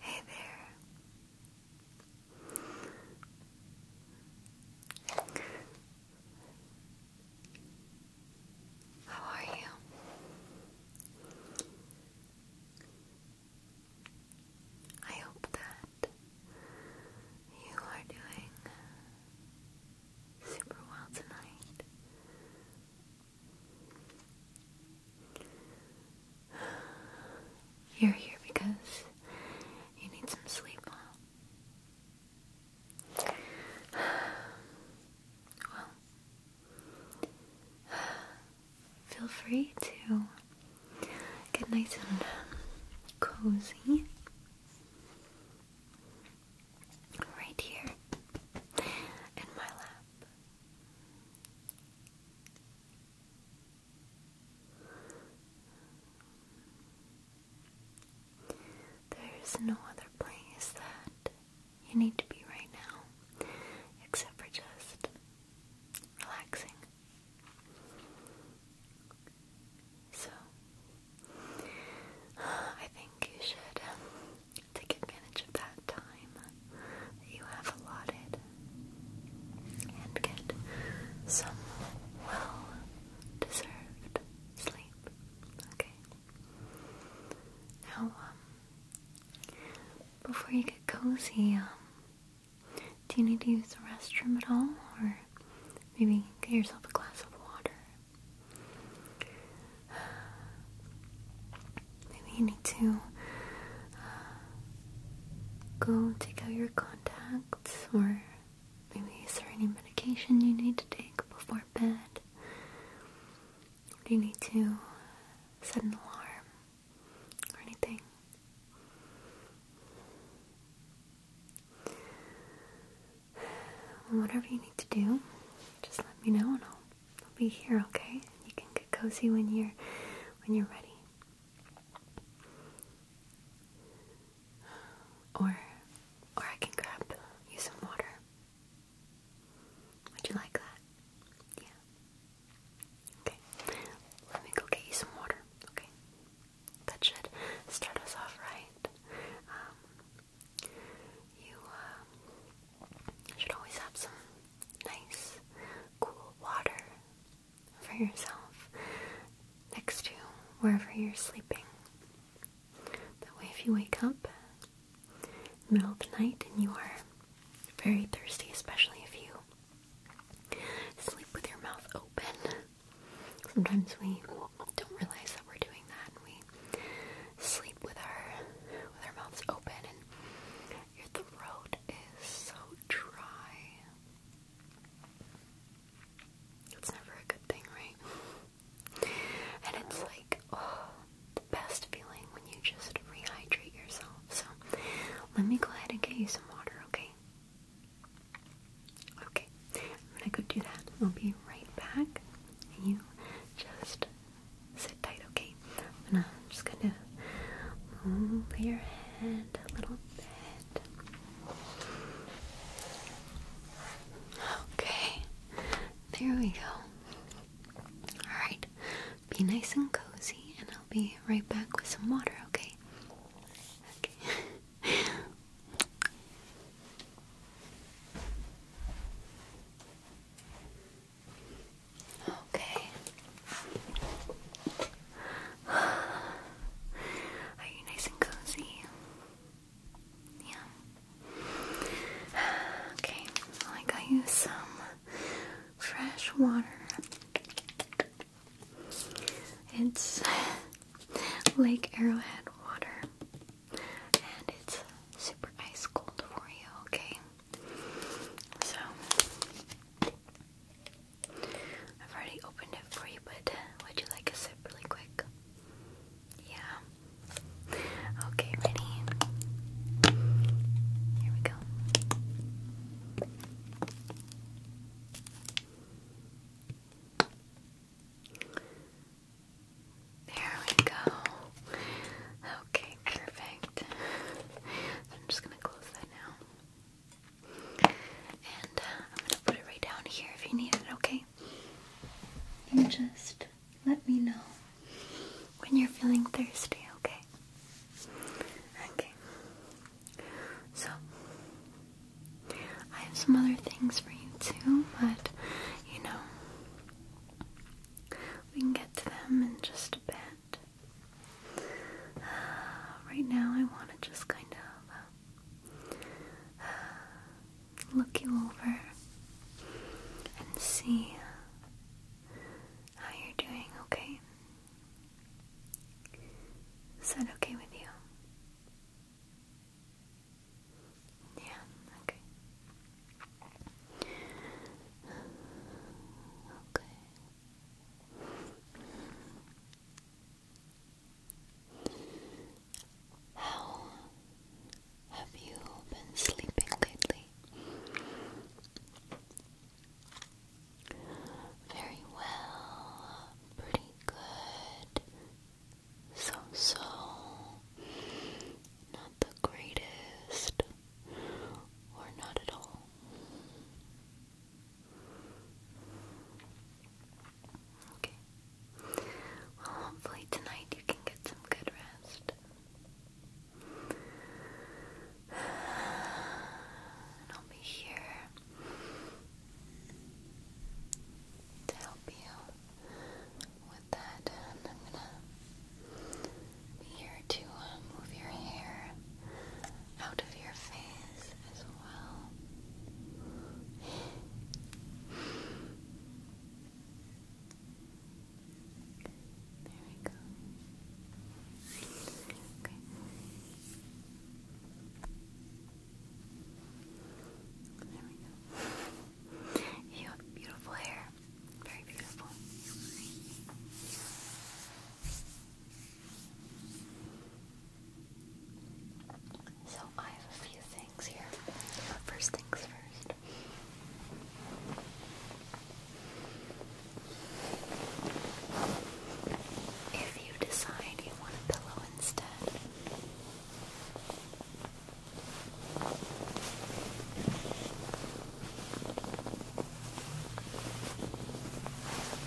Hey there. How are you? I hope that you are doing super well tonight. You're here because you need some sleep, Well, feel free to get nice and cozy right here in my lap. There's no other place that you need to be right now except for just relaxing. So, I think you should um, take advantage of that time you have allotted and get some well deserved sleep. Okay? Now, um, before you get cozy, um, do you need to use the restroom at all? Or maybe get yourself a glass of water? Maybe you need to uh, go take out your contacts or maybe is there any medication you need to take before bed? Do you need to uh, set an alarm or anything? whatever you need to do, just let me know and I'll, be here, okay? You can get cozy when you're when you're ready. Or or I can grab you some water. Would you like that? Yeah. Okay. Let me go get you some water, okay? That should start us off right. Um, you uh, should always have some nice, cool water for yourself next to wherever you're sleeping. That way, if you wake up in the middle of the night and you are very thirsty, especially if you sleep with your mouth open, sometimes we don't realize that we're doing that we sleep with our with our mouths open and your throat is so dry. It's never a good thing, right? And it's like oh, the best feeling when you just rehydrate yourself. So let me go ahead and get you some water, okay? Okay, I'm gonna go do that. I'll be right back you just sit tight, okay? I'm just gonna move your head a little bit. Okay, there we go. Alright, be nice and cozy, and I'll be right back with some water, okay? Okay. Okay. Are you nice and cozy? Yeah. Okay, I got you some fresh water. It's Lake Arrowhead water and it's super ice cold for you, okay? So, I've already opened it for you, but would you like a sip really quick? Yeah. Okay, ready? Here we go. There we go. Okay, perfect. I'm just gonna close that now. And uh, I'm gonna put it right down here if you need it, okay? And just let me know when you're feeling thirsty, okay? Okay. So, I have some other things for you too, but you know, we can get to them in just a bit. right now, I want to just kind of uh, look you over and see uh, how you're doing, okay? Is that okay with you? Yeah, okay. Okay. How have you been sleeping lately? Very well, pretty good so so not the greatest or not at all. Okay. Well, hopefully tonight you can get some good rest. And I'll be here to help you that, I'm gonna be here to uh, move your hair out of your face as well. There we go. There we go. You have beautiful hair. Very beautiful. So, I have a few things here. First things first. If you decide you want a pillow instead, a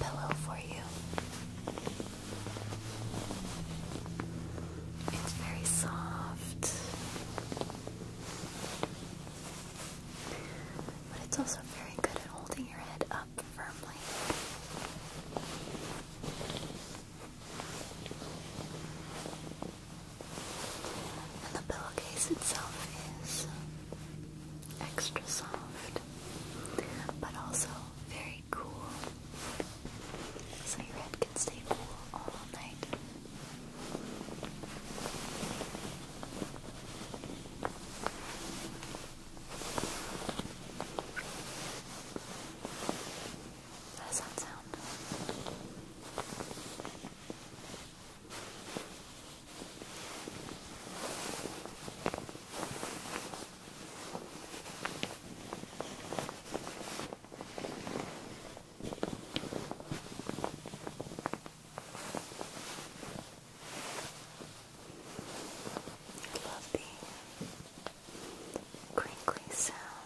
pillow for you. It's very soft, but it's also very good at holding your head up firmly. And the pillowcase itself is extra soft, but also very cool. So your head can stay cool all night. How does I love the crinkly sound.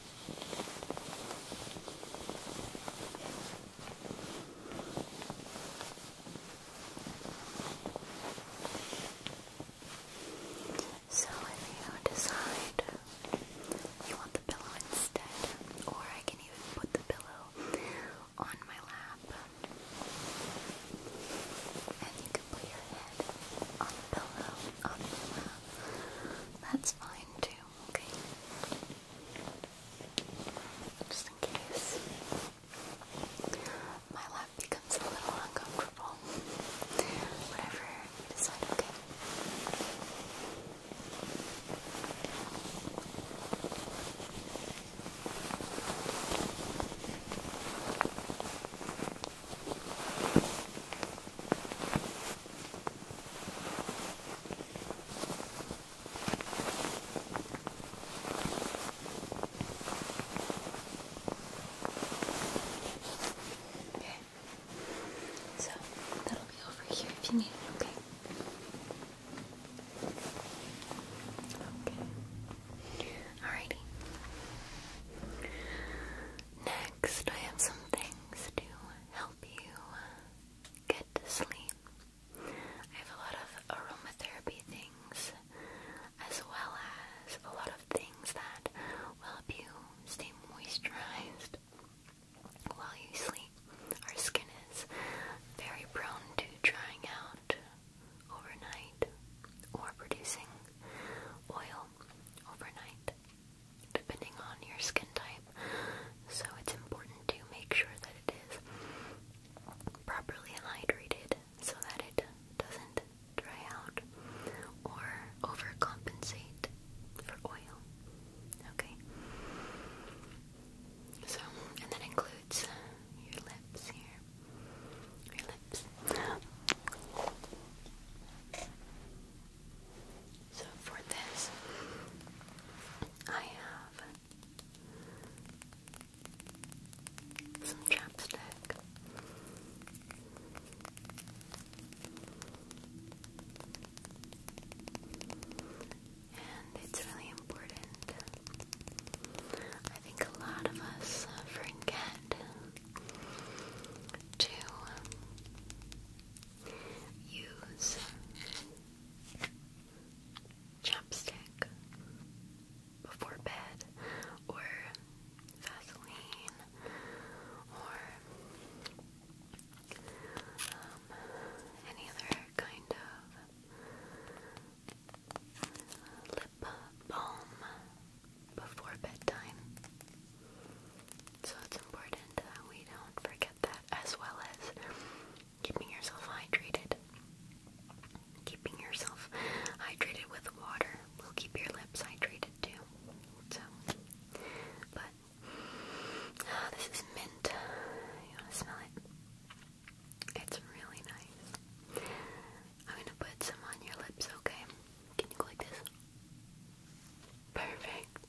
So if you decide you want the pillow instead, or I can even put the pillow on my lap and you can put your head on the pillow on my lap. That's fine too, okay? Just in case my lap becomes a little uncomfortable. Whatever you decide, Okay, Okay. So that'll be over here if you need okay? Okay. Alrighty. Next, I have some things to help you get to sleep. I have a lot of aromatherapy things as well as a lot of things that will help you stay moisturized while you sleep. Our skin is very prone to drying out overnight or producing oil overnight depending on your skin type. So it's important to make sure that it is properly hydrated so that it doesn't dry out or overcompensate for oil. Okay. So, and that includes your lips here. Your lips. So for this, I have some chapstick. And it's really important. I think a lot of us forget to use chapstick before bed, or Vaseline, or um, any other kind of lip balm before bedtime. So it's important that we don't forget that as well as keeping yourself hydrated. Keeping yourself hydrated with water will keep your lips hydrated too. So, but ah, this is mint. You want to smell it? It's really nice. I'm gonna put some on your lips, okay? Can you go like this? Perfect.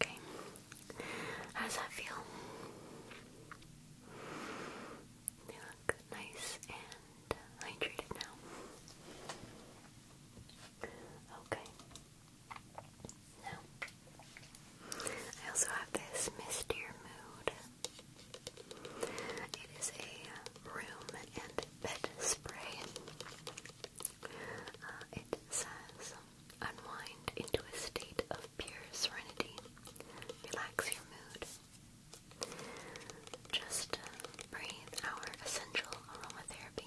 Okay. How does that feel? You look nice and hydrated now. Okay. Now, I also have this Mistier Mood. It is a room and bed spray. Uh, it says, unwind into a state of pure serenity, relax your mood. Just uh, breathe our essential aromatherapy.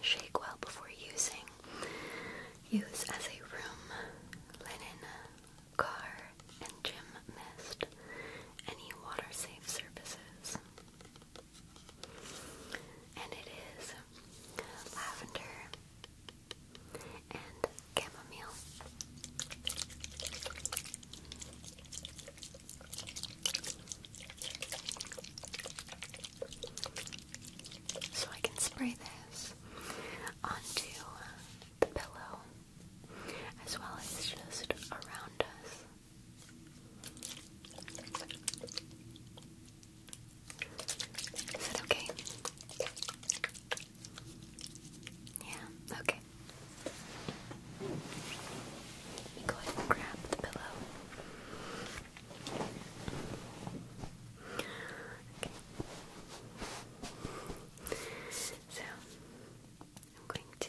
Shake well before using. Use as a room, linen, car, and gym mist. Any water safe surfaces. And it is lavender, and chamomile. So I can spray this onto the pillow as well as just around us. Is that okay? Yeah, okay. Let me go ahead and grab the pillow. Okay. So, I'm going to.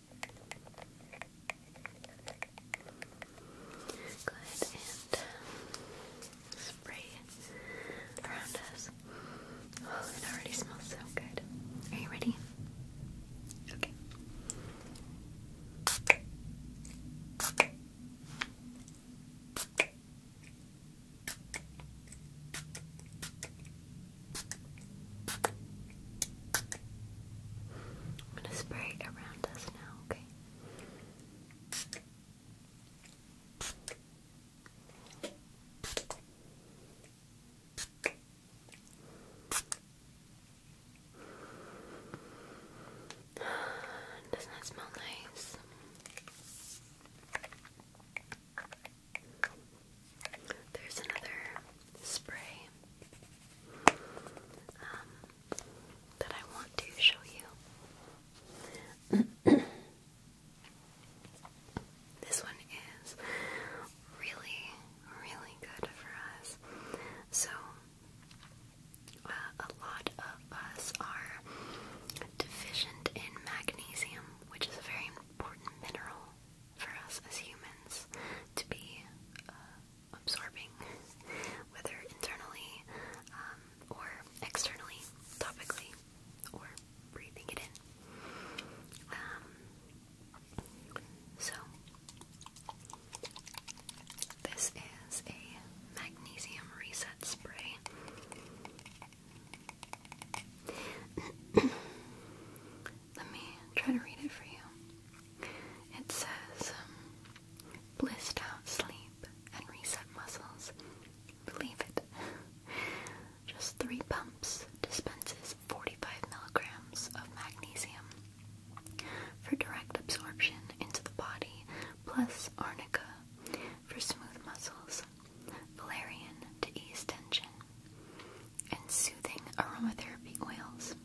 Go ahead and spray around us. Oh, it already smells so good. Are you ready? Okay. I'm gonna spray around us now, okay? Doesn't that smell nice? There's another spray. Um, that I want to show you. this one is really, really good for us. So, uh, a lot of us are deficient in magnesium, which is a very important mineral for us as humans to be uh, absorbing, whether internally um, or externally, topically, or breathing it in. Um, so, this is a magnesium reset spray. Let me try to read it for you. It says, um, out sleep and reset muscles. Believe it. Just three pumps dispenses 45 milligrams of magnesium for direct absorption into the body, plus arnica for smooth muscles, valerian to ease tension, and soothing aromatherapy oils.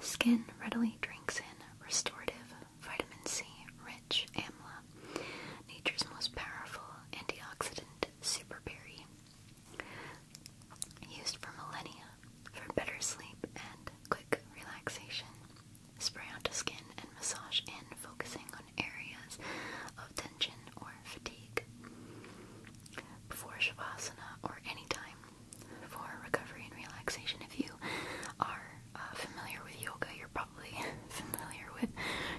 Skin readily drinks in restorative, vitamin C rich amla, nature's most powerful antioxidant superberry, used for millennia for better sleep and quick relaxation. Spray onto skin and massage in, focusing on areas of tension or fatigue. Before Shavasana or any time for recovery and relaxation. If you are uh, familiar with yoga, you're probably familiar with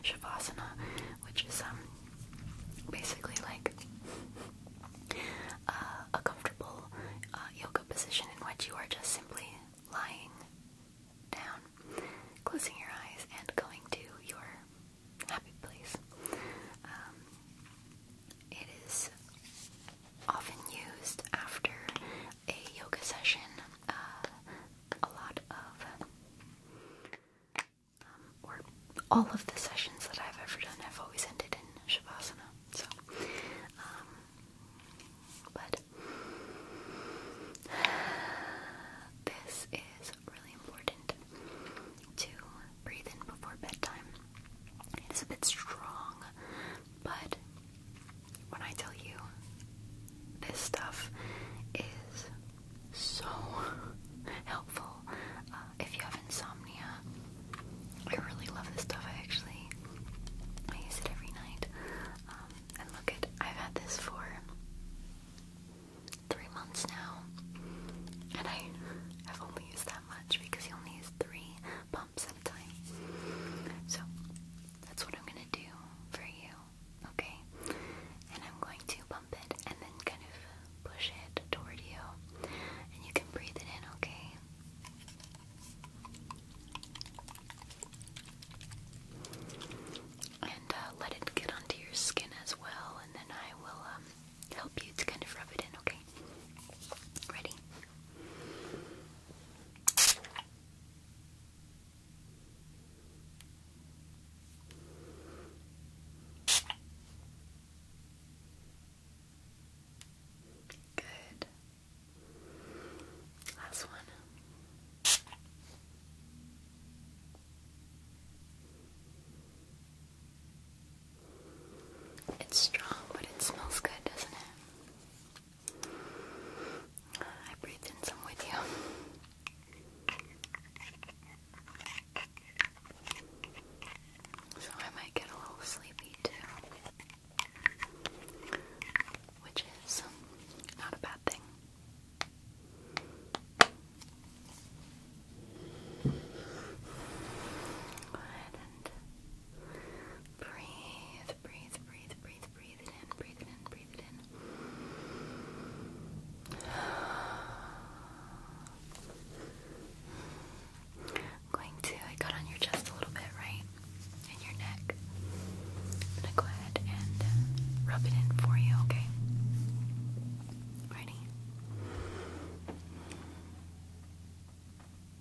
Shavasana, which is um, basically like uh, a comfortable uh, yoga position in which you are just simply lying down, closing your eyes, and going to your happy place. Um, it is often used after a yoga session. Uh, a lot of, um, or all of the sessions that I've ever done have always ended in Shavasana. So, um, but this is really important to breathe in before bedtime. It's a bit strong, but when I tell you, this stuff is so helpful uh, if you have insomnia. I really love this stuff. I actually I use it every night. Um, and look at I've had this for three months now, and I have only used much because he only has three pumps at a time. So that's what I'm gonna do for you, okay? And I'm going to pump it and then kind of push it toward you, and you can breathe it in, okay? And uh, let it get onto your skin as well, and then I will um, help you to kind of rub it in, okay? Ready? Good. Last one. It's strong, but it smells good, doesn't it? I breathed in some with you. So I might get a little sleepy too. Which is um, not a bad thing. Go ahead and Breathe, breathe, breathe, breathe, breathe it in, breathe it in, breathe it in. going to, I got on your chest a little bit, right? And your neck. I'm gonna go ahead and uh, rub it in for you, okay? Ready?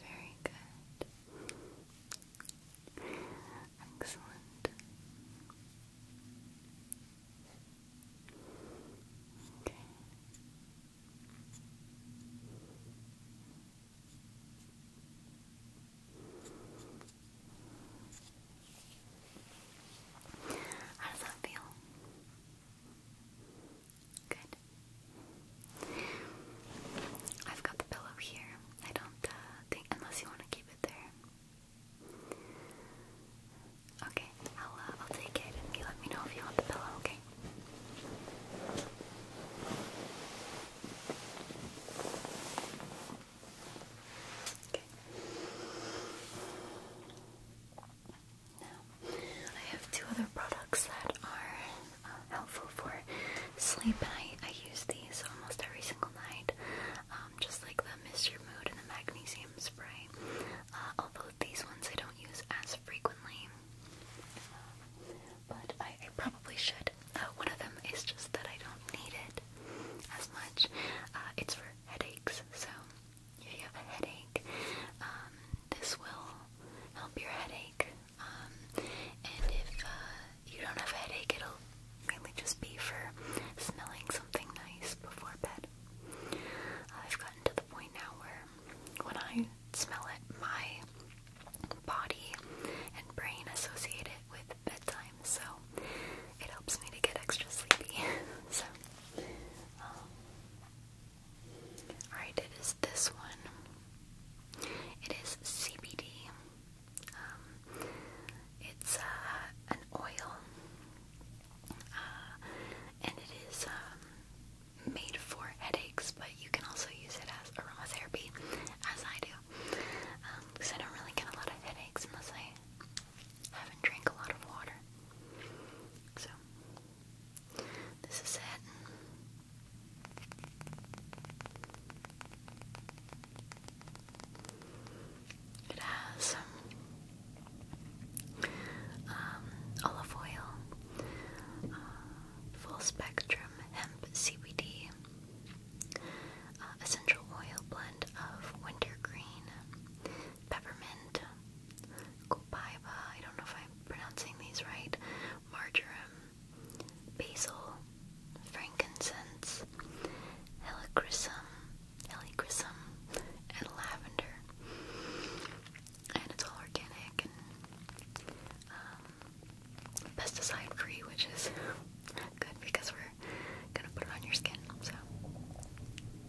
Very good. Excellent. Okay. How does that feel? Good. I've got the pillow here. I don't uh, unless you want to keep it there. Okay, I'll, uh, I'll take it you let me know if you want the pillow, okay? Okay. Now, I have two other products that are uh, helpful for sleep, and I, I use these almost every single night, um, just like the Miss Your Mood and the Magnesium Spray, uh, although these ones I don't use as frequently, um, but I, I probably should. Uh, one of them is just that I don't need it as much. Uh, it's for headaches, so if you have a headache, um, this will help your headache. Um, and if uh, you don't have a headache, it'll mainly just be for smelling something nice before bed. I've gotten to the point now where when I smell it, my body and brain associate it with bedtime, so it helps me to get extra sleepy. so, um, alright, it is this one. It is CBD. Um, it's uh, an oil, uh, and it is um, made for headaches, but you can also use it as aromatherapy, as I do. Because um, I don't really get a lot of headaches unless I I haven't drank a lot of water. So, this is it. It has um, um, olive oil, uh, full spectrum hemp CBD, uh, essential oil blend of wintergreen, peppermint, copaiba, I don't know if I'm pronouncing these right, marjoram, basil, frankincense, helichrysum, helichrysum, and lavender. And it's all organic and um, pesticide free, which is good because we're gonna put it on your skin. So and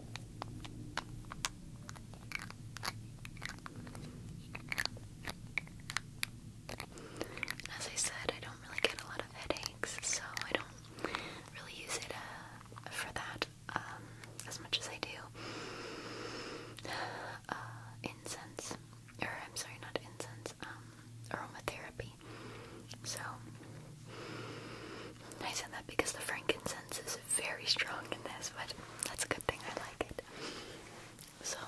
as I said, I don't really get a lot of headaches, so I don't really use it uh, for that um, as much as I do. Uh, incense, or I'm sorry, not incense, um, aromatherapy. So, I said that because the frankincense is very strong in this, but that's a good thing. I like it. So,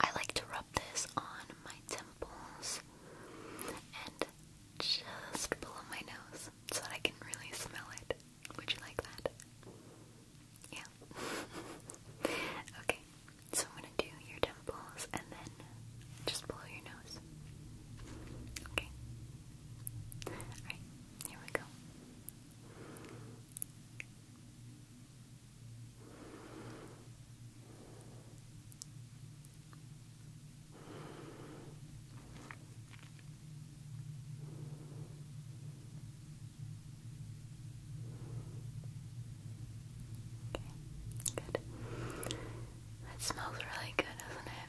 I like to rub this on my temples and just below my nose so that I can really smell it. Would you like that? Yeah. okay, so I'm gonna do your temples and then just below your nose. Okay. Alright, here we go. Okay, good. That smells really good, doesn't it?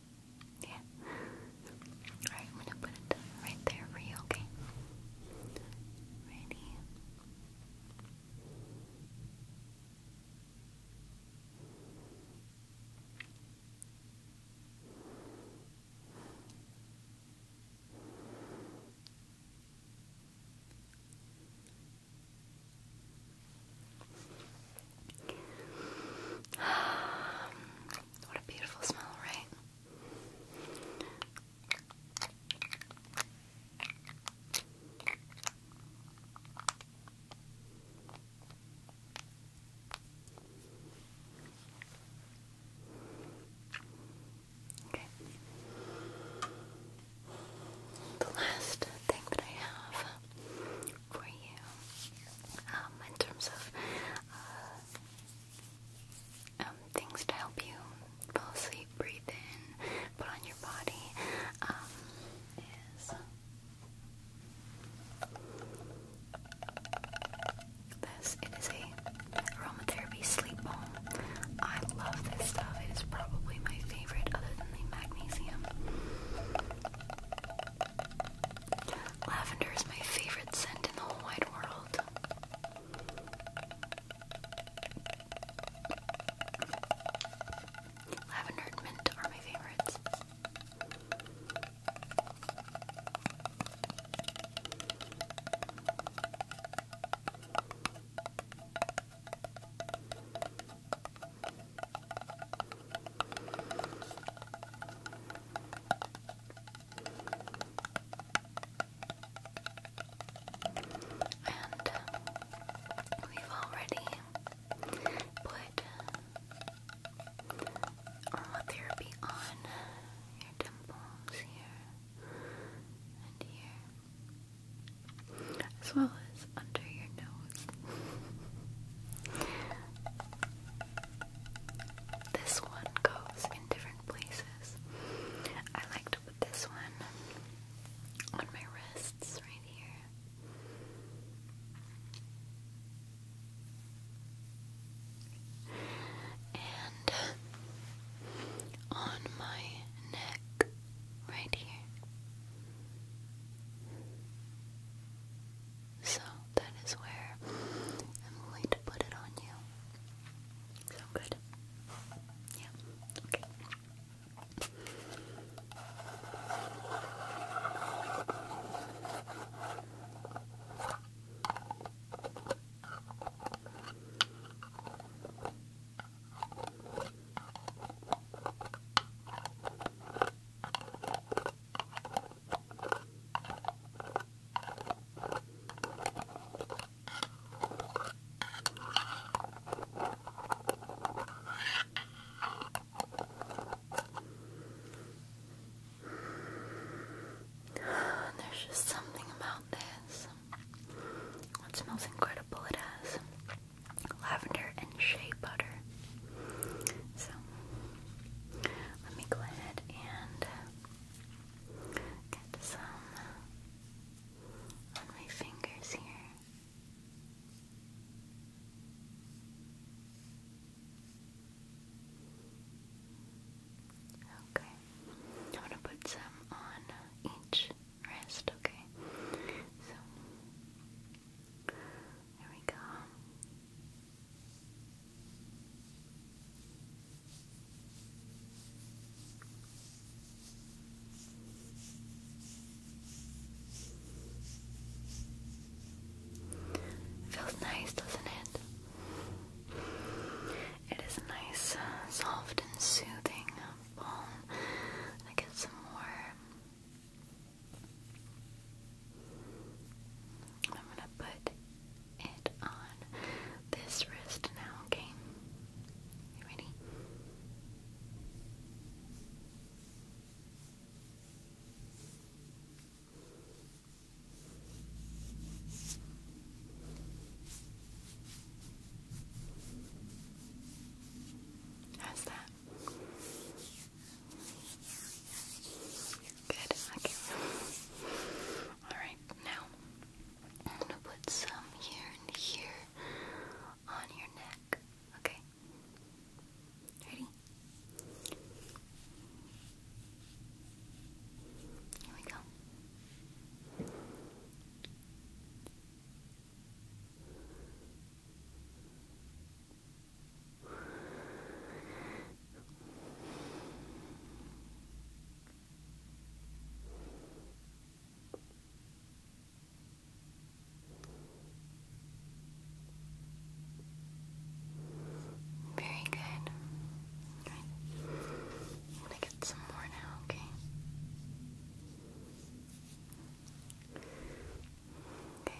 Yeah. Alright, I'm gonna put it right there for you, okay? Ready? What a beautiful smell, right? Okay. The last thing that I have for you um, in terms of uh, um, things to help you fall asleep, breathe in, put on your body um, is this. It is a aromatherapy sleep balm. I love this stuff. It is probably my favorite other than the magnesium. Lavender is my favorite scent in the whole wide world. Lavender and are my favorites. And we've already put aromatherapy on your temples here and here, as well is under your nose. this one goes in different places. I like this one on my wrists right here. And on my neck, right here. So that is where I'm going to put it on you. Sound good? Yeah. Okay. There's just something about this. It smells incredible, it has lavender and shea butter. So let me go ahead and get some on my fingers here. Okay. I'm gonna put some on each wrist, okay? So there we go. Feels nice, doesn't it? It is a nice, uh, soft and soothing um, balm. I get some more I'm gonna put it on this wrist now, okay? ready? How's that? Good, okay. Alright, now I'm gonna put some here and here on your neck. Okay? Ready? Here we go. Very good. alright I'm gonna get some more now, okay? Okay.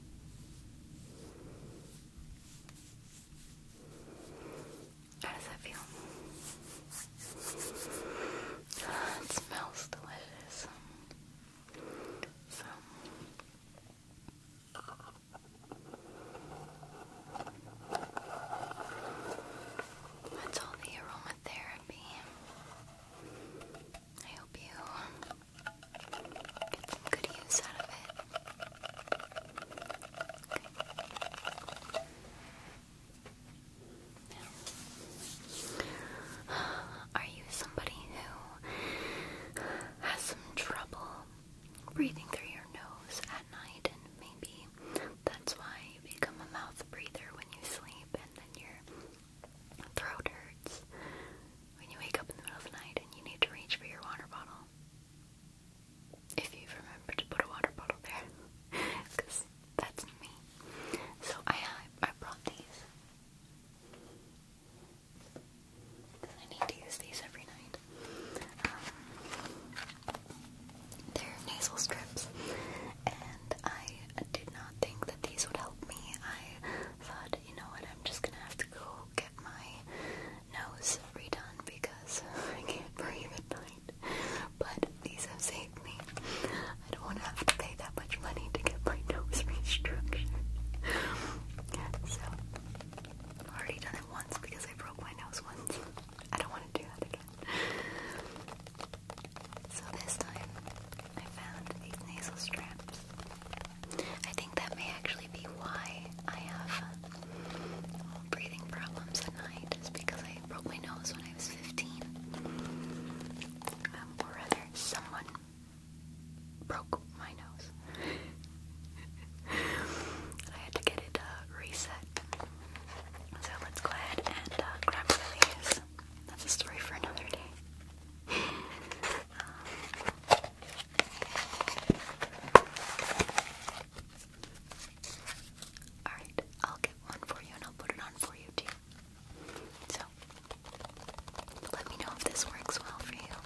How does that feel? It smells delicious. So. That's all the aromatherapy. I hope you are you somebody who has some trouble breathing through your nose at night? And maybe that's why you become a mouth breather when you sleep and then your throat hurts when you wake up in the middle of the night and you need to reach for your water bottle. If you have remembered to put a water bottle there, because that's me. So I uh, I brought these. I need to use these every night. Um, they're nasal strips, and I did not think that these would help me. I thought you know what, I'm just gonna have to go get my nose redone because I can't breathe at night. But these have saved me. I don't wanna have to pay that much money to get my nose restructured. so, I've already done it once because I broke my nose once. I don't wanna do that again. So this time, I found these nasal straps. I think that may actually be why I have uh, breathing problems at night, is because I broke my nose when I was 15. Um, or rather, someone broke my nose. I had to get it uh, reset. So let's go ahead and uh, grab these. That's a story for another day. Alright, I'll get one for you and I'll put it on for you too. So, let me know if this works well for you.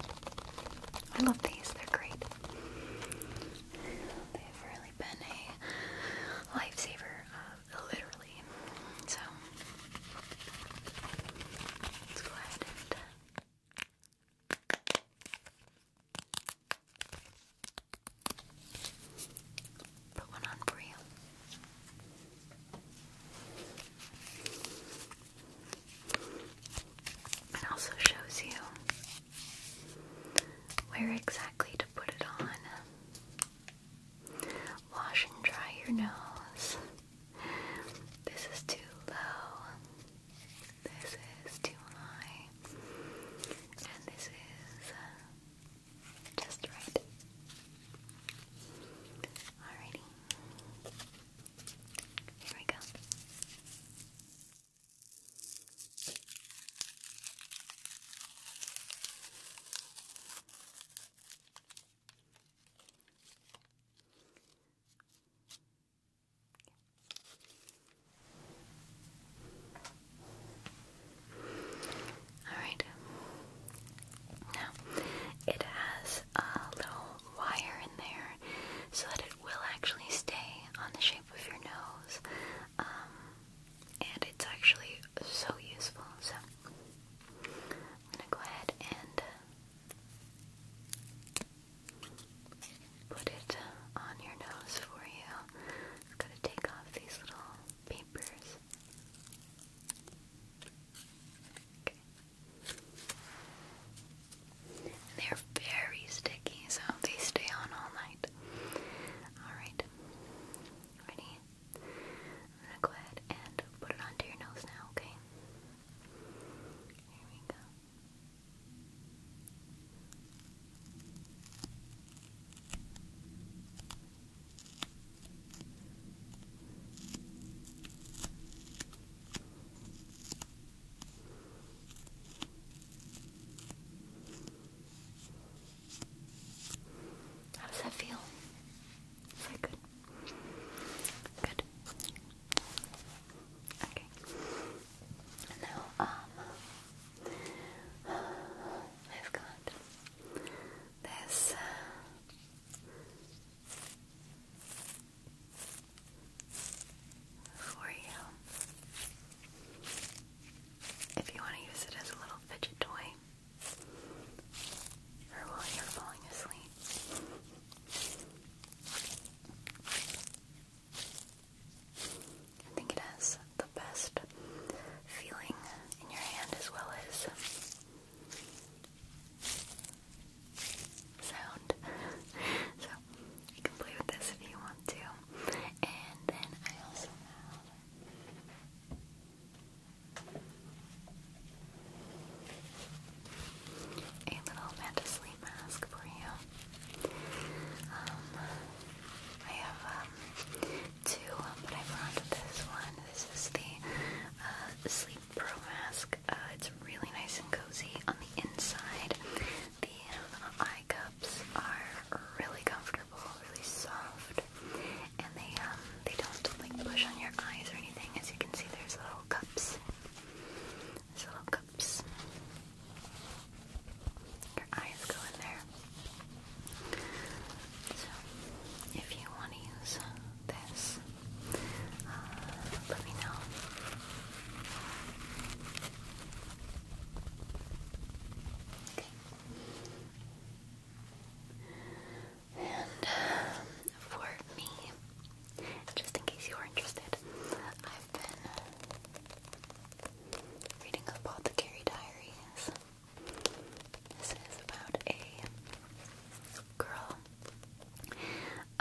I love these, they're great. They've really been a lifesaver, uh, literally. So, Let's go ahead and uh, put one on for you. It also shows you where exactly to put it on. Wash and dry your nose. This is too low. This is too high. And this is uh, just right. Alrighty. Here we go. Alright. Now, it has a little wire in there so that it will actually stay on the shape of your nose. Um, and it's actually so useful. So, I'm going to go ahead and put it on your nose for you. It's to take off these little papers. Okay. They're very sticky, so they stay on all night. Alright. Ready? go ahead and put it onto your nose now, okay? Here we go. How does that feel? Very good. Good. Okay. Now, um, I've got this. Uh, for you, if you want to use it as a little fidget toy, or while you're falling asleep, I think it has the best feeling in your hand as well as sound. so you can play with this if you want to. And then I also have a little manta sleep mask for you. Um, I have um, two, um, but I brought this one. This is the uh, Sleep Pro mask. Uh, it's really nice and cozy on the inside. The uh, eye cups are really comfortable, really soft, and they um, they don't like push on your eyes or anything. As you can see, there's little cups. There's little cups. Your eyes go in there. So, if you want to use this, uh, let me know. Okay. And um, for me, just in case you are interested, I've been reading Apothecary Diaries. This is about a girl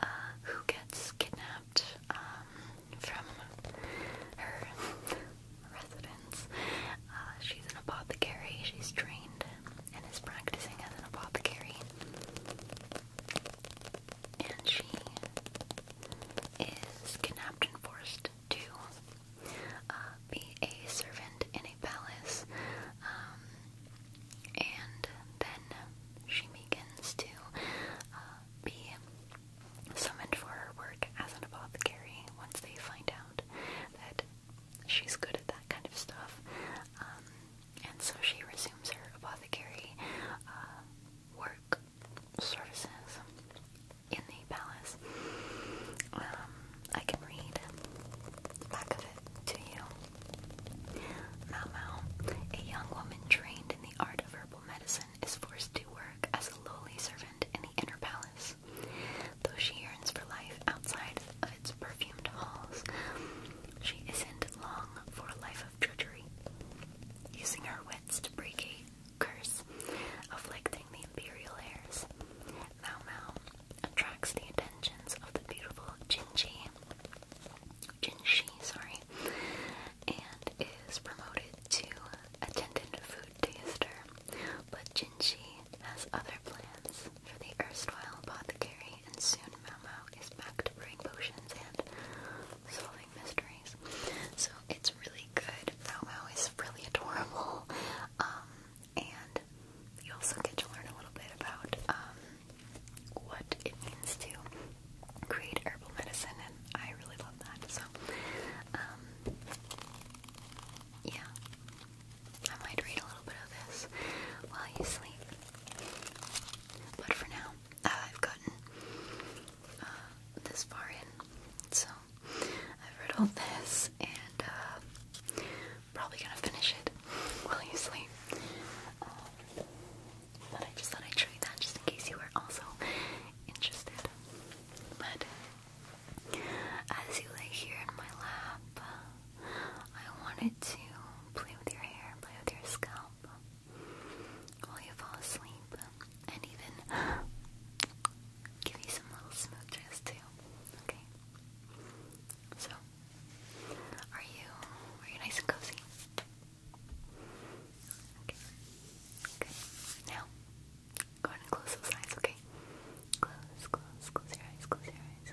uh, who gets kidnapped um, from her residence. Uh, she's an apothecary, she's trained and is practicing as an apothecary. And she is kidnapped and forced to uh, be a servant in a palace. Um, and then she begins to uh, be summoned for her work as an apothecary once they find out that she's good at that kind of stuff. Um, and so she resumes her apothecary uh, work services in the palace. Um, I can read the back of it to you. Mao Mao, a young woman trained in the art of herbal medicine, is forced to work as a lowly servant in the inner palace. Though she yearns for life outside of its perfumed halls. She isn't long for a life of drudgery, using her wits to break a curse, afflicting the imperial heirs. Mao Mao attracts the attentions of the beautiful Jinji, Jinshi, sorry, and is promoted to attendant food taster, but Jinshi has other plans for the erstwhile apothecary and soon Mau is back to brewing potions and solving mysteries. So it's really good. Mau is really adorable, um, and you also get to learn a little bit about um, what it means to create herbal medicine, and I really love that. So, um, yeah. I might read a little bit of this while you sleep. But for now, uh, I've gotten uh, this far in, so I've read all this and uh, probably gonna finish it while you sleep. Um, but I just thought I'd show you that just in case you were also interested. But as you lay here in my lap, I wanted to play with your hair, play with your scalp while you fall asleep, and even give you some little smooches too. Okay. So, are you are you nice and cozy? Okay. Good. Now, go ahead and close those eyes. Okay. Close, close, close your eyes. Close your eyes.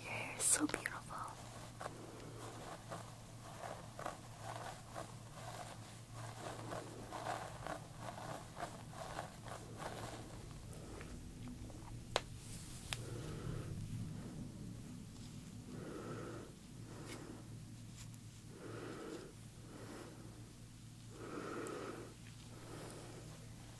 Your hair is so beautiful.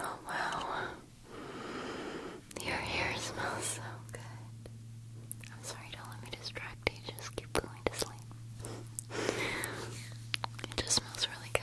Oh, wow. Your hair smells so good. I'm sorry, do let me distract you. Just keep going to sleep. It just smells really good.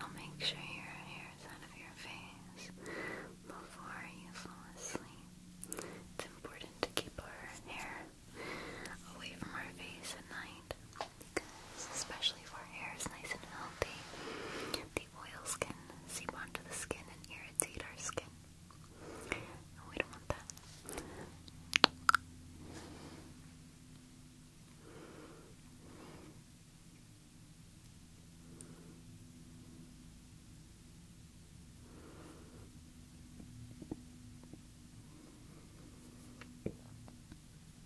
I'll make sure your hair is out of your face before you fall asleep. It's important to keep our hair away from our face at night because especially if our hair is nice and healthy, the oils can seep onto the skin and irritate our skin. we don't want that.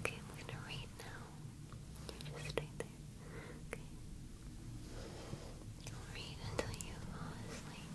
Okay, I'm gonna read now. You just stay there. Okay. I'll read until you fall asleep.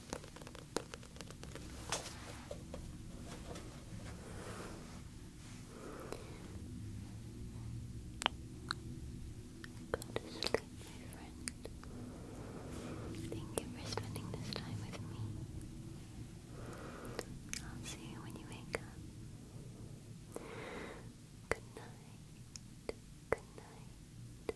Go to sleep, my friend. Thank you for spending this time with me. I'll see you when you wake up. Good night. Good night. Good night.